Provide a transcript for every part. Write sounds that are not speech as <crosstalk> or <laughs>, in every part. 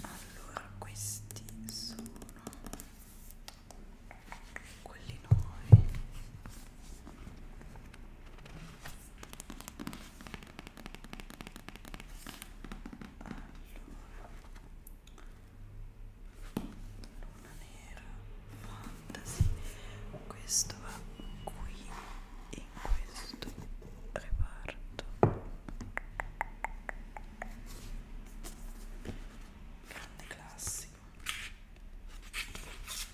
Allora, questi sono quelli nuovi. Allora, luna nera, fantasy. Questo va qui in questo reparto grande classico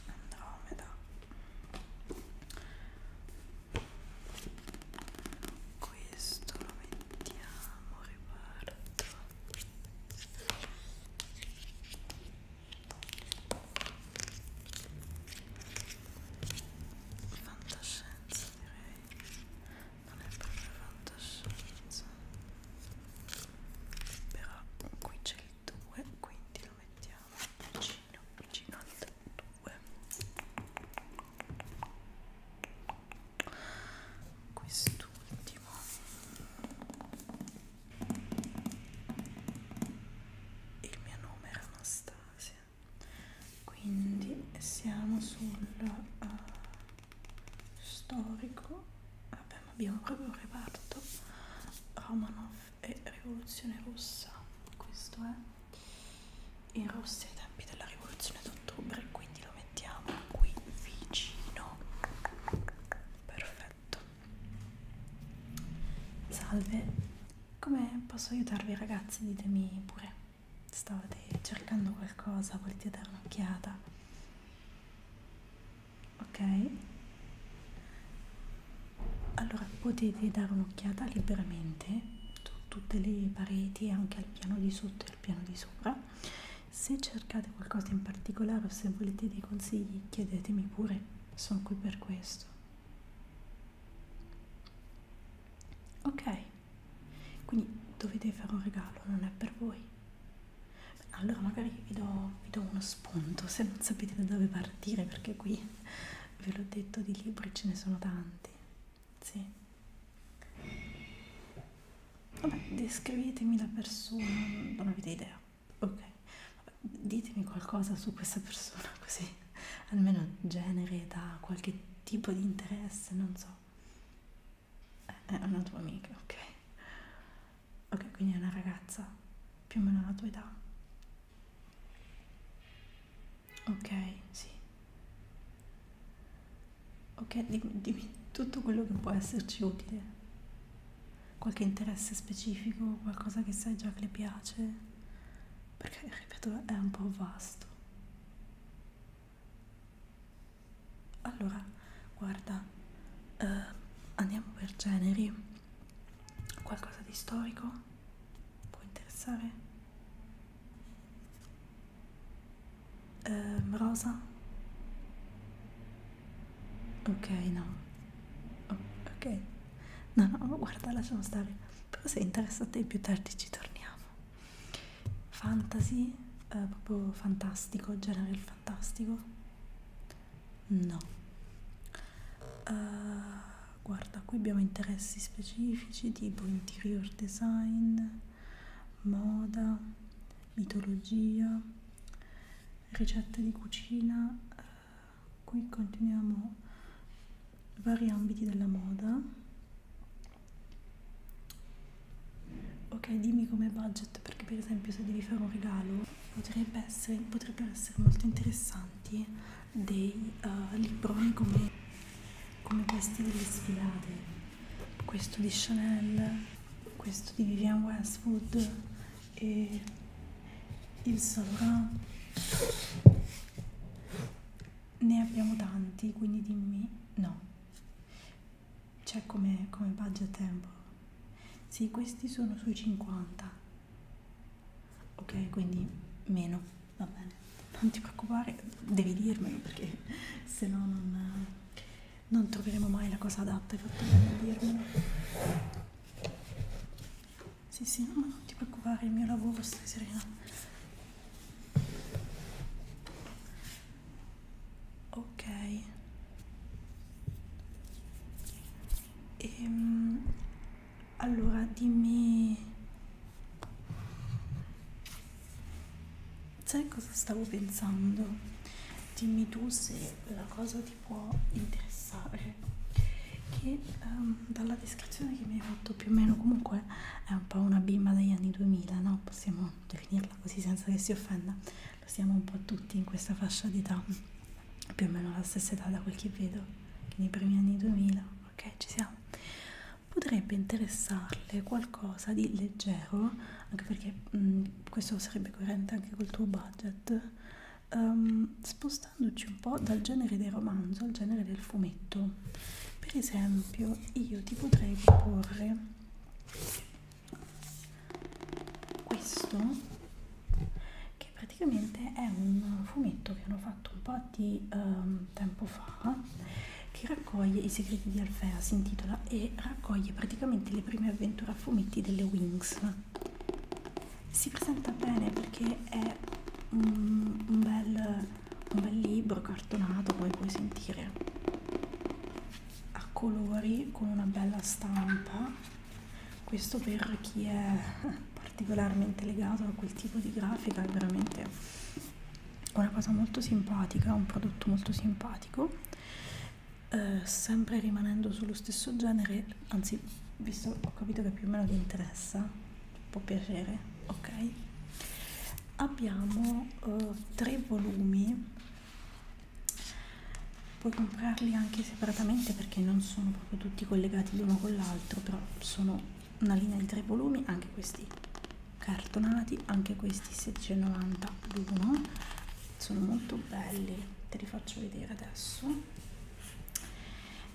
Andromeda questo lo mettiamo reparto fantascienza direi non è proprio fantascienza però qui c'è il 2 quindi lo mettiamo vicino vicino al 2 quest'ultimo il mio nome era Anastasia quindi siamo sul uh, storico abbiamo, abbiamo proprio un reparto Romanov e rivoluzione russa questo è in Russia ai tempi della rivoluzione d'ottobre quindi lo mettiamo qui vicino perfetto salve come posso aiutarvi ragazzi? Ditemi pure, stavate cercando qualcosa, volete dare un'occhiata? Ok? Allora potete dare un'occhiata liberamente su tutte le pareti, anche al piano di sotto e al piano di sopra. Se cercate qualcosa in particolare o se volete dei consigli, chiedetemi pure, sono qui per questo ok quindi dovete fare un regalo non è per voi allora magari vi do, vi do uno spunto se non sapete da dove partire perché qui ve l'ho detto di libri ce ne sono tanti sì vabbè descrivetemi la persona non avete idea ok vabbè, ditemi qualcosa su questa persona <laughs> così <laughs> almeno genere, età, qualche tipo di interesse, non so. Eh, è una tua amica, ok? Ok, quindi è una ragazza più o meno alla tua età. Ok, sì. Ok, dimmi, dimmi tutto quello che può esserci utile. Qualche interesse specifico, qualcosa che sai già che le piace, perché ripeto è un po' vasto allora guarda eh, andiamo per generi qualcosa di storico può interessare eh, rosa ok no oh, ok no no guarda lasciamo stare però se interessa a te più tardi ci torniamo fantasy eh, proprio fantastico genere il fantastico no uh, guarda qui abbiamo interessi specifici tipo interior design moda mitologia ricette di cucina eh, qui continuiamo vari ambiti della moda ok dimmi come budget perché per esempio se devi fare un regalo potrebbe essere, potrebbero essere molto interessanti dei uh, libroni come, come questi delle sfilate questo di Chanel questo di Vivian Westwood e il Saint Laurent ne abbiamo tanti, quindi dimmi no. C'è come, come budget tempo? Sì, questi sono sui 50. Ok, quindi meno, va bene. Non ti preoccupare, devi dirmelo perché se no non, non troveremo mai la cosa adatta. Hai fatto bene a dirmelo. Sì, sì, no, non ti preoccupare, il mio lavoro, stai serena. Ok. Ehm, allora, dimmi... Sai cosa stavo pensando? Dimmi tu se la cosa ti può interessare. Che... Um, dalla descrizione che mi hai fatto più o meno comunque è un po' una bimba degli anni 2000 no? possiamo definirla così senza che si offenda lo siamo un po' tutti in questa fascia d'età più o meno alla stessa età da quel che vedo nei primi anni 2000 ok ci siamo potrebbe interessarle qualcosa di leggero anche perché mh, mm, questo sarebbe coerente anche col tuo budget um, spostandoci un po' dal genere del romanzo al genere del fumetto per esempio io ti potrei proporre questo che praticamente è un fumetto che hanno fatto un po' di um, tempo fa che raccoglie i segreti di Alfea si intitola e raccoglie praticamente le prime avventure a fumetti delle Wings si presenta bene perché è un, un bel un bel libro cartonato poi puoi sentire a colori con una bella stampa questo per chi è <laughs> particolarmente legato a quel tipo di grafica è veramente una cosa molto simpatica un prodotto molto simpatico eh, sempre rimanendo sullo stesso genere anzi visto ho capito che più o meno ti interessa può piacere ok abbiamo uh, tre volumi puoi comprarli anche separatamente perché non sono proprio tutti collegati l'uno con l'altro però sono una linea di tre volumi anche questi cartonati anche questi 690 l'uno sono molto belli te li faccio vedere adesso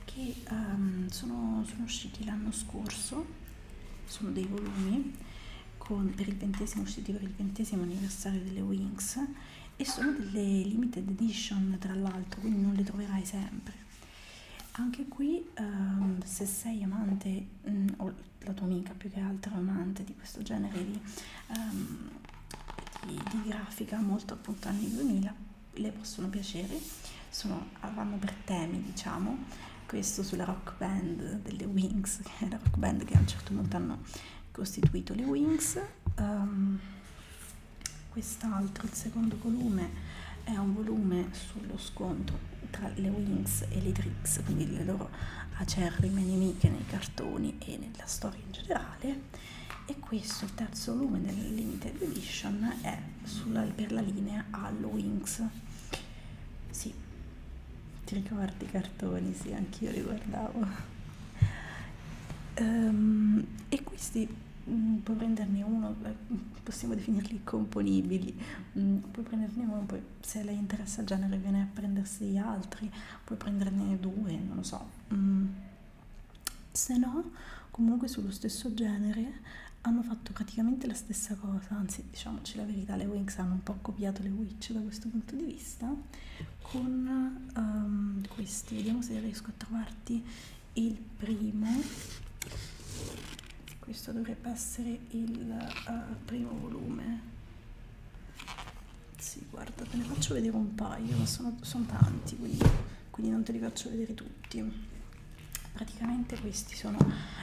che um, sono, sono usciti l'anno scorso, sono dei volumi con, per il ventesimo, usciti per il ventesimo anniversario delle Wings e sono delle limited edition tra l'altro, quindi non le troverai sempre. Anche qui, um, se sei amante, mh, mm, o la tua amica più che altro amante di questo genere di, um, di, di grafica molto appunto anni 2000, le possono piacere, sono, vanno per temi diciamo, questo sulla rock band delle Wings, che <laughs> è la rock band che a un certo punto hanno costituito le Wings, um, quest'altro, il secondo volume, è un volume sullo scontro tra le Wings e le Trix, quindi le loro acerrime nemiche nei cartoni e nella storia in generale e questo, il terzo volume della Limited Edition, è sulla, per la linea Hallowings. Sì, ti ricordi i cartoni? Sì, anch'io li guardavo. Um, e questi mh, mm, puoi prenderne uno, eh, possiamo definirli componibili, mh, mm, puoi prenderne uno, poi se le interessa il genere viene a prendersi gli altri, puoi prenderne due, non lo so. Mh, mm. se no comunque sullo stesso genere hanno fatto praticamente la stessa cosa anzi diciamoci la verità le Winx hanno un po' copiato le Witch da questo punto di vista con um, questi vediamo se riesco a trovarti il primo questo dovrebbe essere il uh, primo volume sì, guarda, te ne faccio vedere un paio, ma sono, sono tanti, quindi, quindi non te li faccio vedere tutti praticamente questi sono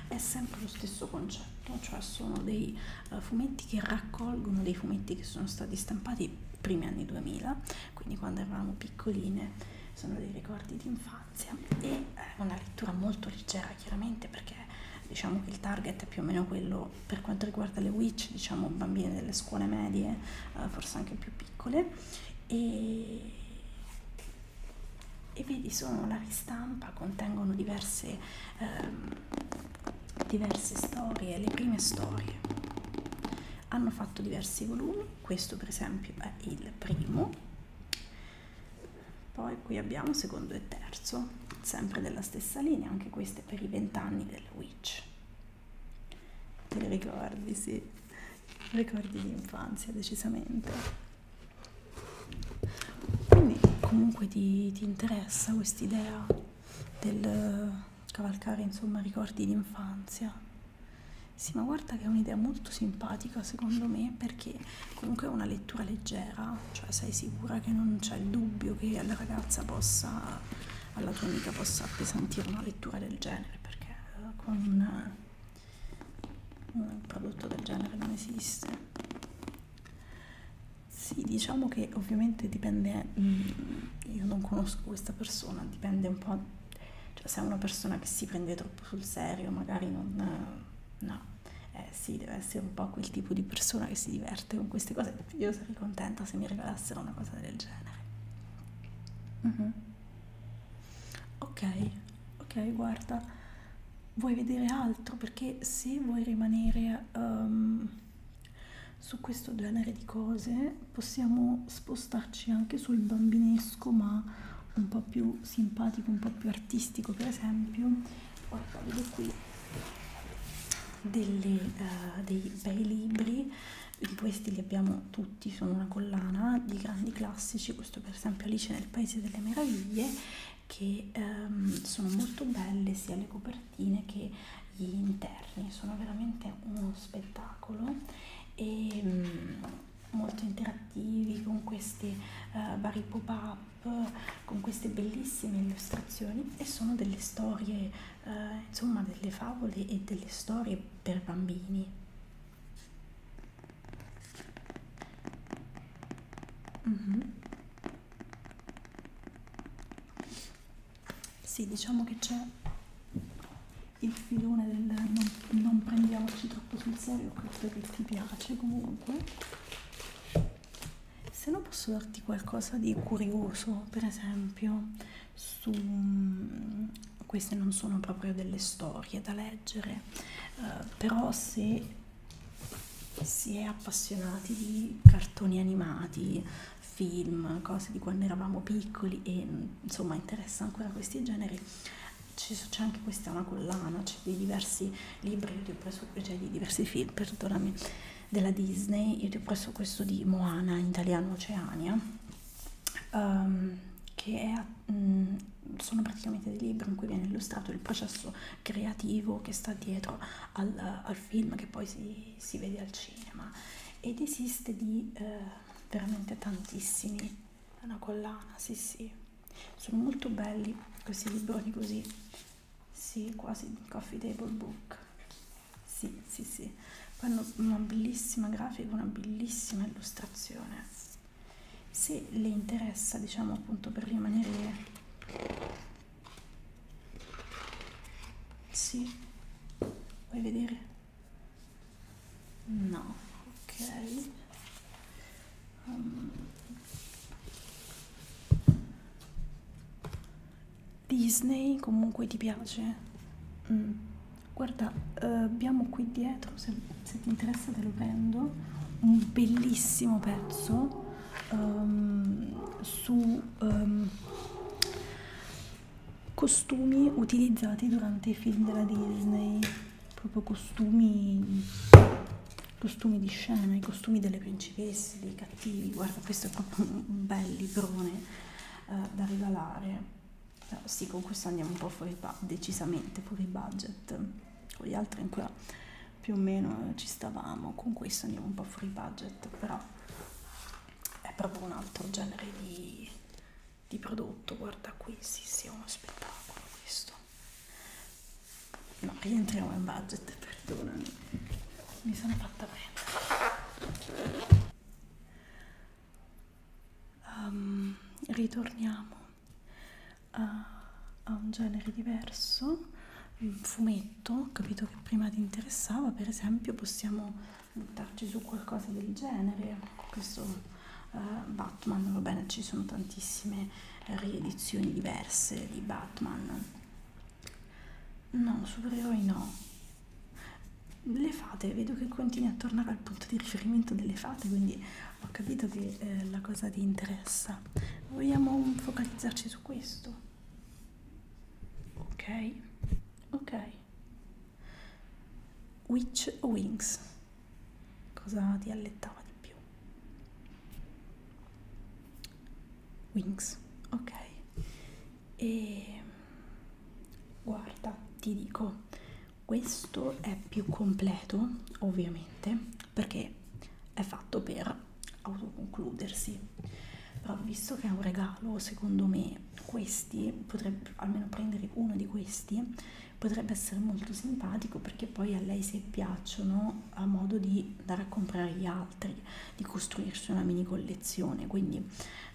è sempre lo stesso concetto cioè sono dei uh, fumetti che raccolgono dei fumetti che sono stati stampati i primi anni 2000 quindi quando eravamo piccoline sono dei ricordi di infanzia e eh, una lettura molto leggera chiaramente perché diciamo che il target è più o meno quello per quanto riguarda le witch diciamo bambine delle scuole medie eh, forse anche più piccole e e vedi sono la ristampa contengono diverse ehm, diverse storie le prime storie hanno fatto diversi volumi questo per esempio è il primo poi qui abbiamo secondo e terzo sempre della stessa linea anche queste per i vent'anni del witch te li ricordi sì ricordi di infanzia decisamente quindi comunque ti, ti interessa quest'idea del eh, cavalcare insomma ricordi d'infanzia sì ma guarda che è un'idea molto simpatica secondo me perché comunque è una lettura leggera cioè sei sicura che non c'è il dubbio che alla ragazza possa alla tua amica possa appesantire una lettura del genere perché eh, con un prodotto del genere non esiste sì diciamo che ovviamente dipende mm, io non conosco questa persona dipende un po' cioè se è una persona che si prende troppo sul serio magari non no eh sì deve essere un po' quel tipo di persona che si diverte con queste cose io sarei contenta se mi regalassero una cosa del genere uh -huh ok ok guarda vuoi vedere altro perché se vuoi rimanere um, su questo genere di cose possiamo spostarci anche sul bambinesco ma un po' più simpatico un po' più artistico per esempio guarda vedo qui delle, uh, dei bei libri di questi li abbiamo tutti tutti, sono una collana di grandi classici, questo per esempio Alice nel Paese delle Meraviglie, che ehm, sono molto belle sia le copertine che gli interni, sono veramente uno spettacolo e mh, mm, molto interattivi con questi eh, vari pop-up, con queste bellissime illustrazioni e sono delle storie, eh, insomma delle favole e delle storie per bambini. Mm -hmm. Sì, diciamo che c'è il filone del non, non prendiamoci troppo sul serio, credo che ti piace comunque. Se no posso darti qualcosa di curioso, per esempio, su queste non sono proprio delle storie da leggere, eh, però se si è appassionati di cartoni animati, film, cose di quando eravamo piccoli e insomma interessa ancora questi generi, c'è anche questa una collana, c'è dei diversi libri, io ti ho preso, cioè di diversi film, perdonami, della Disney, io ti ho preso questo di Moana in italiano Oceania, um, che è a mh, mm, sono praticamente dei libri in cui viene illustrato il processo creativo che sta dietro al, al film che poi si, si vede al cinema ed esiste di eh, veramente tantissimi una collana sì sì sono molto belli questi libroni così sì quasi coffee table book sì sì sì poi hanno una bellissima grafica una bellissima illustrazione se le interessa diciamo appunto per rimanere sì vuoi vedere no ok um. Disney comunque ti piace? Mm. Guarda, uh, abbiamo qui dietro, se se ti interessa te lo prendo un bellissimo pezzo um, su um, costumi utilizzati durante i film della Disney proprio costumi costumi di scena i costumi delle principesse dei cattivi guarda questo è proprio un bel librone uh, da regalare però sì con questo andiamo un po' fuori decisamente fuori budget con gli altri ancora più o meno ci stavamo, con questo andiamo un po' free budget, però è proprio un altro genere di, di prodotto, guarda qui, sì, sì, è uno spettacolo questo. No, rientriamo in budget, perdonami, mi sono fatta prendere. Um, ritorniamo a, a un genere diverso, un fumetto, ho capito che prima ti interessava, per esempio possiamo buttarci su qualcosa del genere, questo uh, Batman, va bene, ci sono tantissime riedizioni diverse di Batman. No, supereroi no. Le fate, vedo che continui a tornare al punto di riferimento delle fate, quindi ho capito che eh, la cosa ti interessa vogliamo focalizzarci su questo ok ok witch o wings cosa ti allettava di più wings ok e guarda ti dico questo è più completo ovviamente perché è fatto per autoconcludersi però visto che è un regalo secondo me questi potrebbe almeno prendere uno di questi potrebbe essere molto simpatico perché poi a lei se piacciono ha modo di andare a comprare gli altri di costruirsi una mini collezione quindi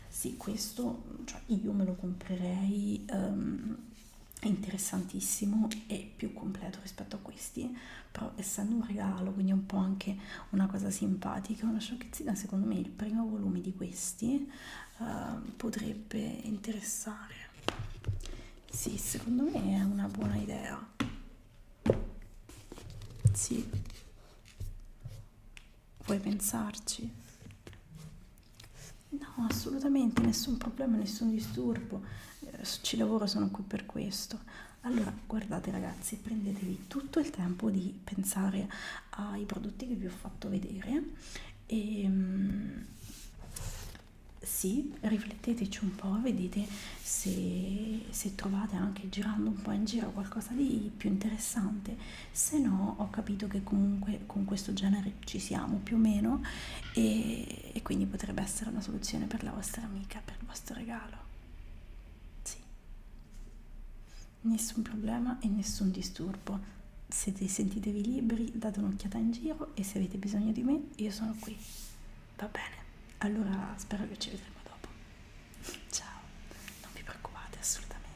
sì questo cioè io me lo comprerei um, interessantissimo e più completo rispetto a questi però essendo un regalo quindi è un po' anche una cosa simpatica una sciocchezzina secondo me il primo volume di questi uh, potrebbe interessare sì secondo me è una buona idea sì vuoi pensarci No, assolutamente, nessun problema, nessun disturbo. Eh, ci lavoro, sono qui per questo. Allora, guardate ragazzi, prendetevi tutto il tempo di pensare ai prodotti che vi ho fatto vedere e mm, sì, rifletteteci un po', vedete se, se trovate anche girando un po' in giro qualcosa di più interessante, se no ho capito che comunque con questo genere ci siamo più o meno e e, e quindi potrebbe essere una soluzione per la vostra amica, per il vostro regalo. Sì. Nessun problema e nessun disturbo. Se sentitevi liberi, date un'occhiata in giro e se avete bisogno di me, io sono qui. Va bene. Allora spero che ci vedremo dopo. <laughs> Ciao. Non vi preoccupate assolutamente.